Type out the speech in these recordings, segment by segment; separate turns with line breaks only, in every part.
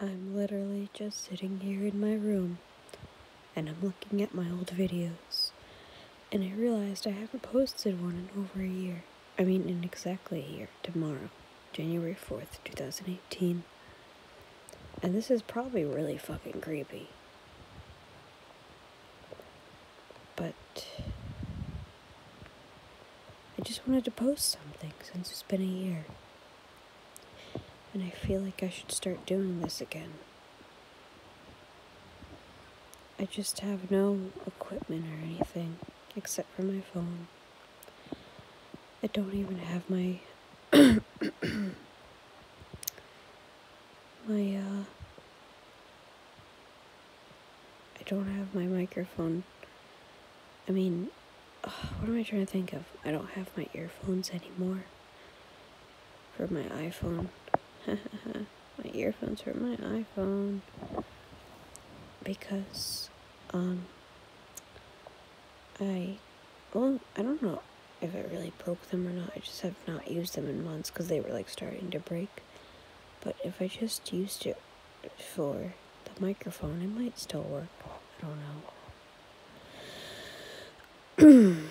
I'm literally just sitting here in my room and I'm looking at my old videos and I realized I haven't posted one in over a year. I mean in exactly a year, tomorrow, January 4th, 2018. And this is probably really fucking creepy. But I just wanted to post something since it's been a year. And I feel like I should start doing this again. I just have no equipment or anything except for my phone. I don't even have my my uh, I don't have my microphone I mean, what am I trying to think of? I don't have my earphones anymore for my iPhone. my earphones for my iPhone because um I well I don't know if I really broke them or not. I just have not used them in months because they were like starting to break. But if I just used it for the microphone. It might still work. I don't know.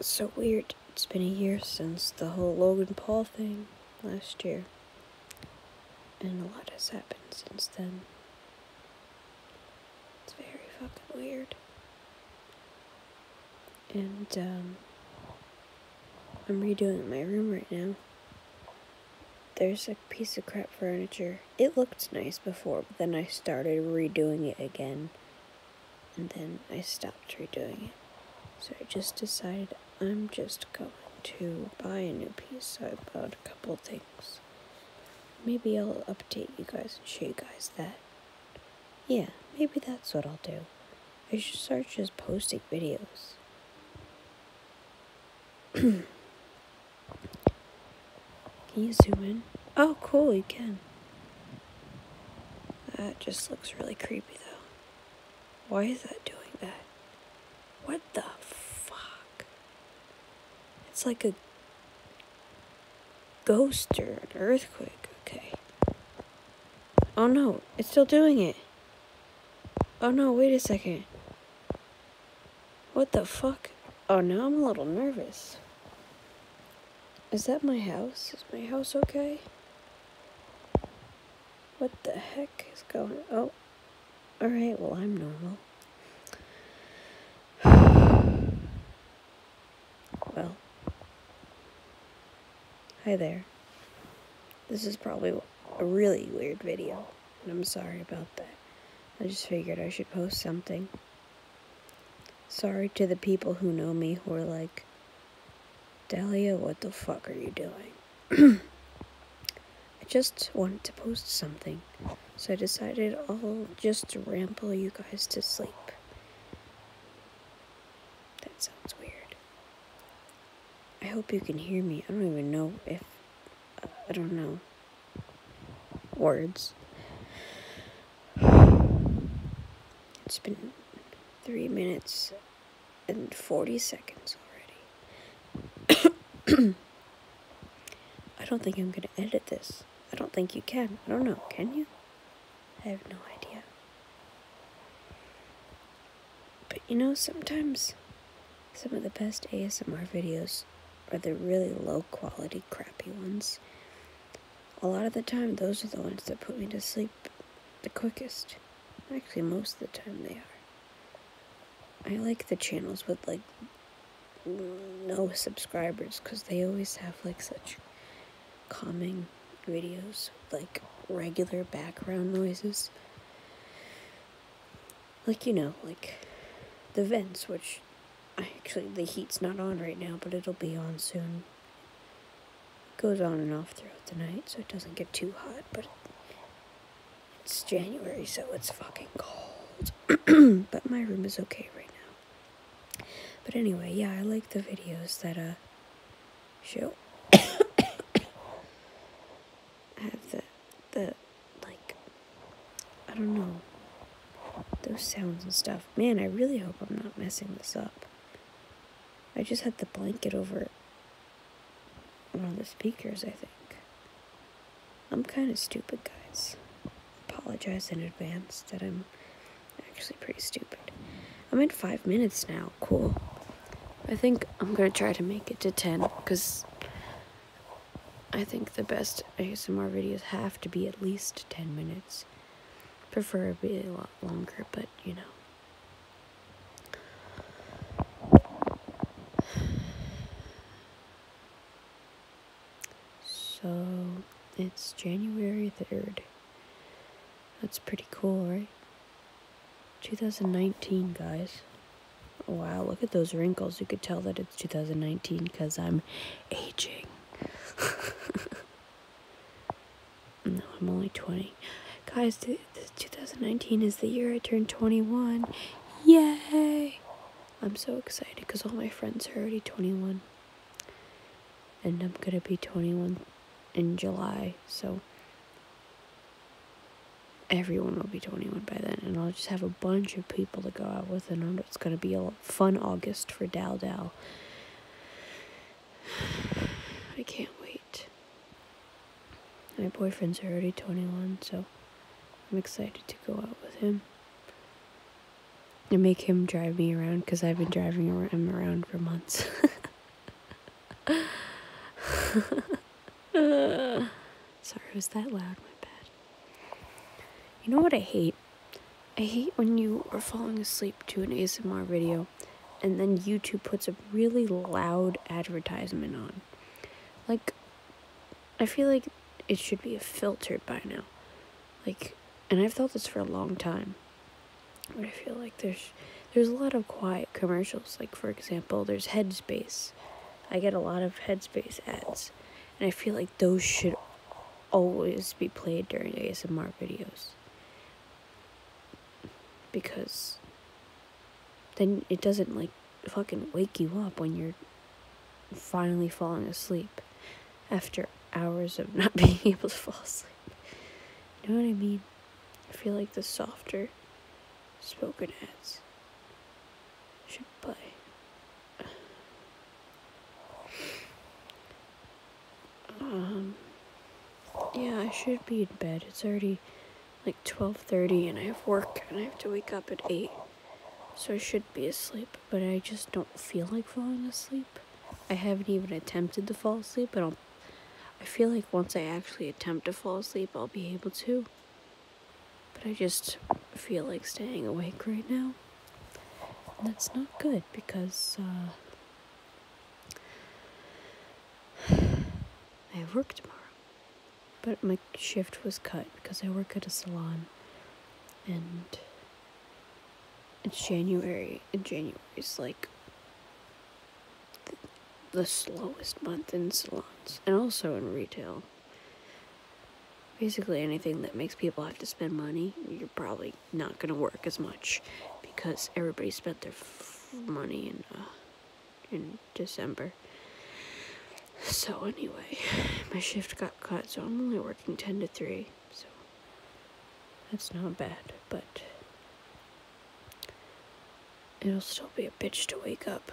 so weird. It's been a year since the whole Logan Paul thing last year. And a lot has happened since then. It's very fucking weird. And, um, I'm redoing my room right now. There's a piece of crap furniture. It looked nice before, but then I started redoing it again. And then I stopped redoing it. So I just decided I'm just going to buy a new piece, so I bought a couple things. Maybe I'll update you guys and show you guys that. Yeah, maybe that's what I'll do. I should start just posting videos. can you zoom in? Oh, cool, you can. That just looks really creepy, though. Why is that doing that? What the fuck? It's like a ghost or an earthquake. Okay. Oh no, it's still doing it. Oh no, wait a second. What the fuck? Oh, no! I'm a little nervous. Is that my house? Is my house okay? What the heck is going Oh. Alright, well, I'm normal. well. Hi there. This is probably a really weird video, and I'm sorry about that. I just figured I should post something. Sorry to the people who know me who are like, Dahlia, what the fuck are you doing? I just wanted to post something, so I decided I'll just ramble you guys to sleep. That sounds weird. I hope you can hear me. I don't even know if. I don't know. Words. It's been three minutes and 40 seconds already. I don't think I'm gonna edit this. I don't think you can. I don't know. Can you? I have no idea. But you know, sometimes some of the best ASMR videos are the really low quality, crappy ones. A lot of the time, those are the ones that put me to sleep the quickest. Actually, most of the time they are. I like the channels with like no subscribers because they always have like such calming videos, like regular background noises. Like, you know, like the vents, which actually the heat's not on right now, but it'll be on soon. It goes on and off throughout the night, so it doesn't get too hot, but it's January, so it's fucking cold. but my room is okay right now. But anyway, yeah, I like the videos that, uh, show. I have the, the, like, I don't know, those sounds and stuff. Man, I really hope I'm not messing this up. I just had the blanket over one of the speakers, I think. I'm kind of stupid, guys. Apologize in advance that I'm actually pretty stupid. I'm in five minutes now cool. I think I'm gonna try to make it to 10 because I think the best ASMR videos have to be at least 10 minutes. Preferably a lot longer, but you know. So, it's January 3rd. That's pretty cool, right? 2019, guys. Wow, look at those wrinkles. You could tell that it's 2019 because I'm aging. no, I'm only 20. Guys, 2019 is the year I turned 21. Yay! I'm so excited because all my friends are already 21. And I'm gonna be 21 in July, so everyone will be 21 by then, and I'll just have a bunch of people to go out with, and it's gonna be a fun August for Dal Dal. I can't wait. My boyfriend's already 21, so I'm excited to go out with him and make him drive me around because I've been driving him around for months. Sorry, was that loud? My bad. You know what I hate? I hate when you are falling asleep to an ASMR video and then YouTube puts a really loud advertisement on. Like, I feel like it should be filtered by now. Like, and I've thought this for a long time. But I feel like there's there's a lot of quiet commercials. Like for example, there's Headspace. I get a lot of Headspace ads, and I feel like those should always be played during ASMR videos because then it doesn't like fucking wake you up when you're finally falling asleep after hours of not being able to fall asleep. You know what I mean? I feel like the softer spoken ads should play. Um, yeah, I should be in bed. It's already like 12.30 and I have work and I have to wake up at 8. So I should be asleep, but I just don't feel like falling asleep. I haven't even attempted to fall asleep, but I'll I feel like once I actually attempt to fall asleep, I'll be able to. But I just feel like staying awake right now. that's not good because uh, I have work tomorrow. But my shift was cut because I work at a salon and it's January and January's like the slowest month in salons and also in retail. Basically, anything that makes people have to spend money, you're probably not going to work as much because everybody spent their money in uh, in December. So anyway, my shift got cut, so I'm only working ten to three. So that's not bad, but It'll still be a bitch to wake up.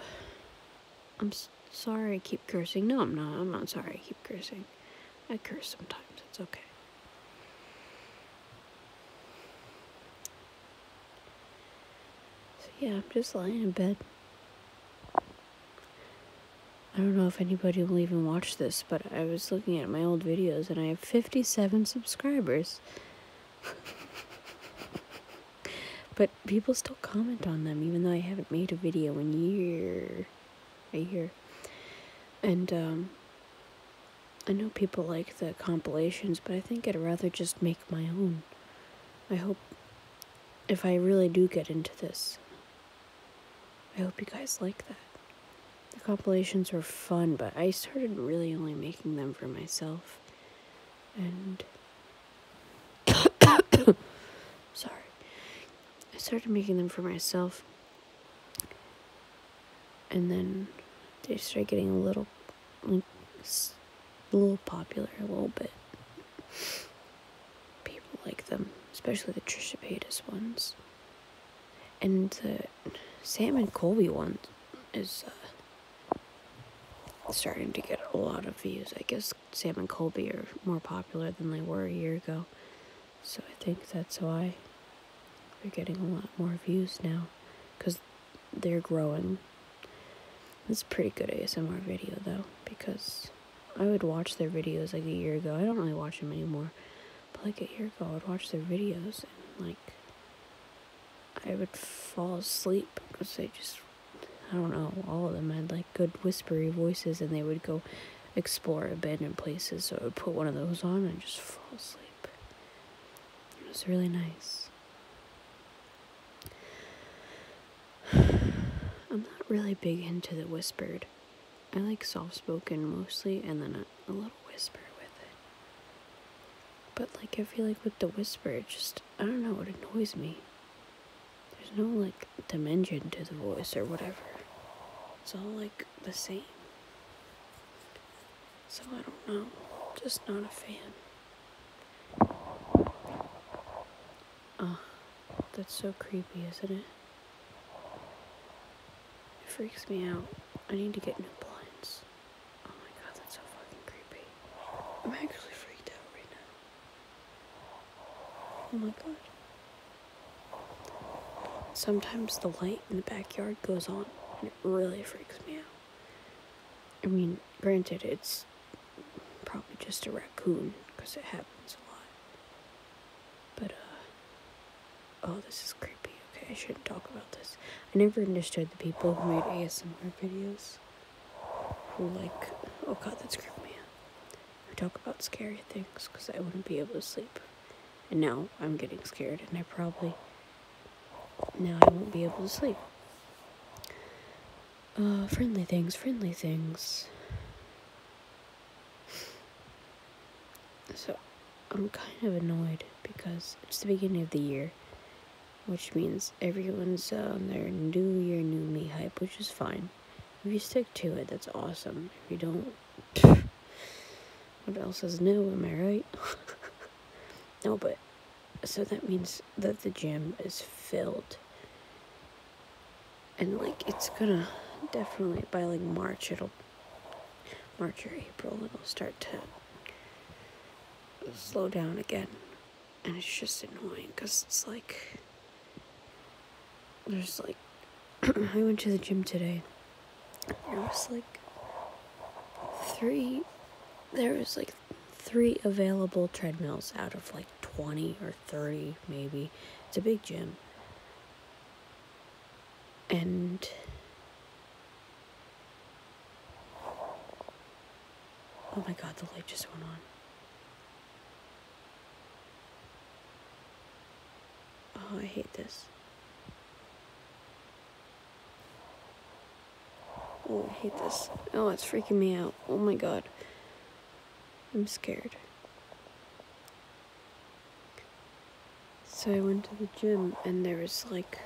I'm sorry I keep cursing. No, I'm not. I'm not sorry I keep cursing. I curse sometimes. It's okay. So yeah, I'm just lying in bed. I don't know if anybody will even watch this, but I was looking at my old videos and I have 57 subscribers. but people still comment on them, even though I haven't made a video in year, a year. And um, I know people like the compilations, but I think I'd rather just make my own. I hope if I really do get into this, I hope you guys like that. The compilations were fun, but I started really only making them for myself. And. Sorry. I started making them for myself. And then they started getting a little. a little popular, a little bit. People like them, especially the Trisha Paytas ones and Sam and Colby one is uh, starting to get a lot of views. I guess Sam and Colby are more popular than they were a year ago, so I think that's why they're getting a lot more views now because they're growing. It's pretty good ASMR video though because I would watch their videos like a year ago. I don't really watch them anymore like a year ago, I would watch their videos and like I would fall asleep because they just I don't know all of them had like good whispery voices and they would go explore abandoned places. So I would put one of those on and just fall asleep. It was really nice. I'm not really big into the whispered. I like soft spoken mostly and then a little whisper with it. But like I feel like with the whisper, it just I don't know, it annoys me. There's no like dimension to the voice or whatever. It's all like the same. So I don't know. Just not a fan. Ah, that's so creepy, isn't it? It freaks me out. I need to get new blinds. Oh my god, that's so fucking creepy. I'm actually freaked out right now. Oh my god. Sometimes the light in the backyard goes on and it really freaks me out. I mean, granted, it's probably just a raccoon because it happens a lot. But, uh, Oh, this is creepy. Okay, I shouldn't talk about this. I never understood the people who made ASMR videos who, like, oh god, that's creepy. me out. Who talk about scary things because I wouldn't be able to sleep. And now I'm getting scared and I probably. Now I won't be able to sleep. Uh, friendly things, friendly things. So, I'm kind of annoyed because it's the beginning of the year, which means everyone's on their new year, new me hype, which is fine. If you stick to it, that's awesome. If you don't, what else is new? Am I right? no, but so that means that the gym is filled. And like, it's gonna definitely by like March, it'll March or April, it'll start to slow down again. And it's just annoying because it's like, there's like, I went to the gym today. There was like three, there was like three available treadmills out of like 20 or 30 maybe. It's a big gym. And Oh my god, the light just went on. Oh, I hate this. Oh, I hate this. Oh, it's freaking me out. Oh my god. I'm scared. So I went to the gym and there was like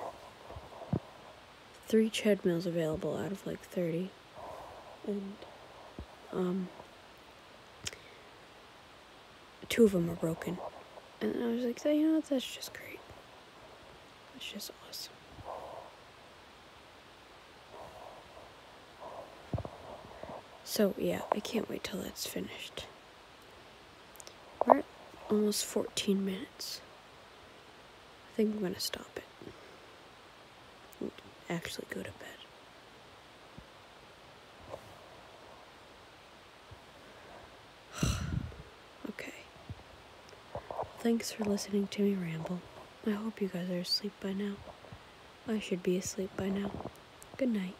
three treadmills available out of like 30. And um, two of them are broken. And I was like, you know that's just great. That's just awesome. So yeah, I can't wait till it's finished. We're almost 14 minutes. I think I'm gonna stop it. actually go to bed. Okay. thanks for listening to me ramble. I hope you guys are asleep by now. I should be asleep by now. Good night.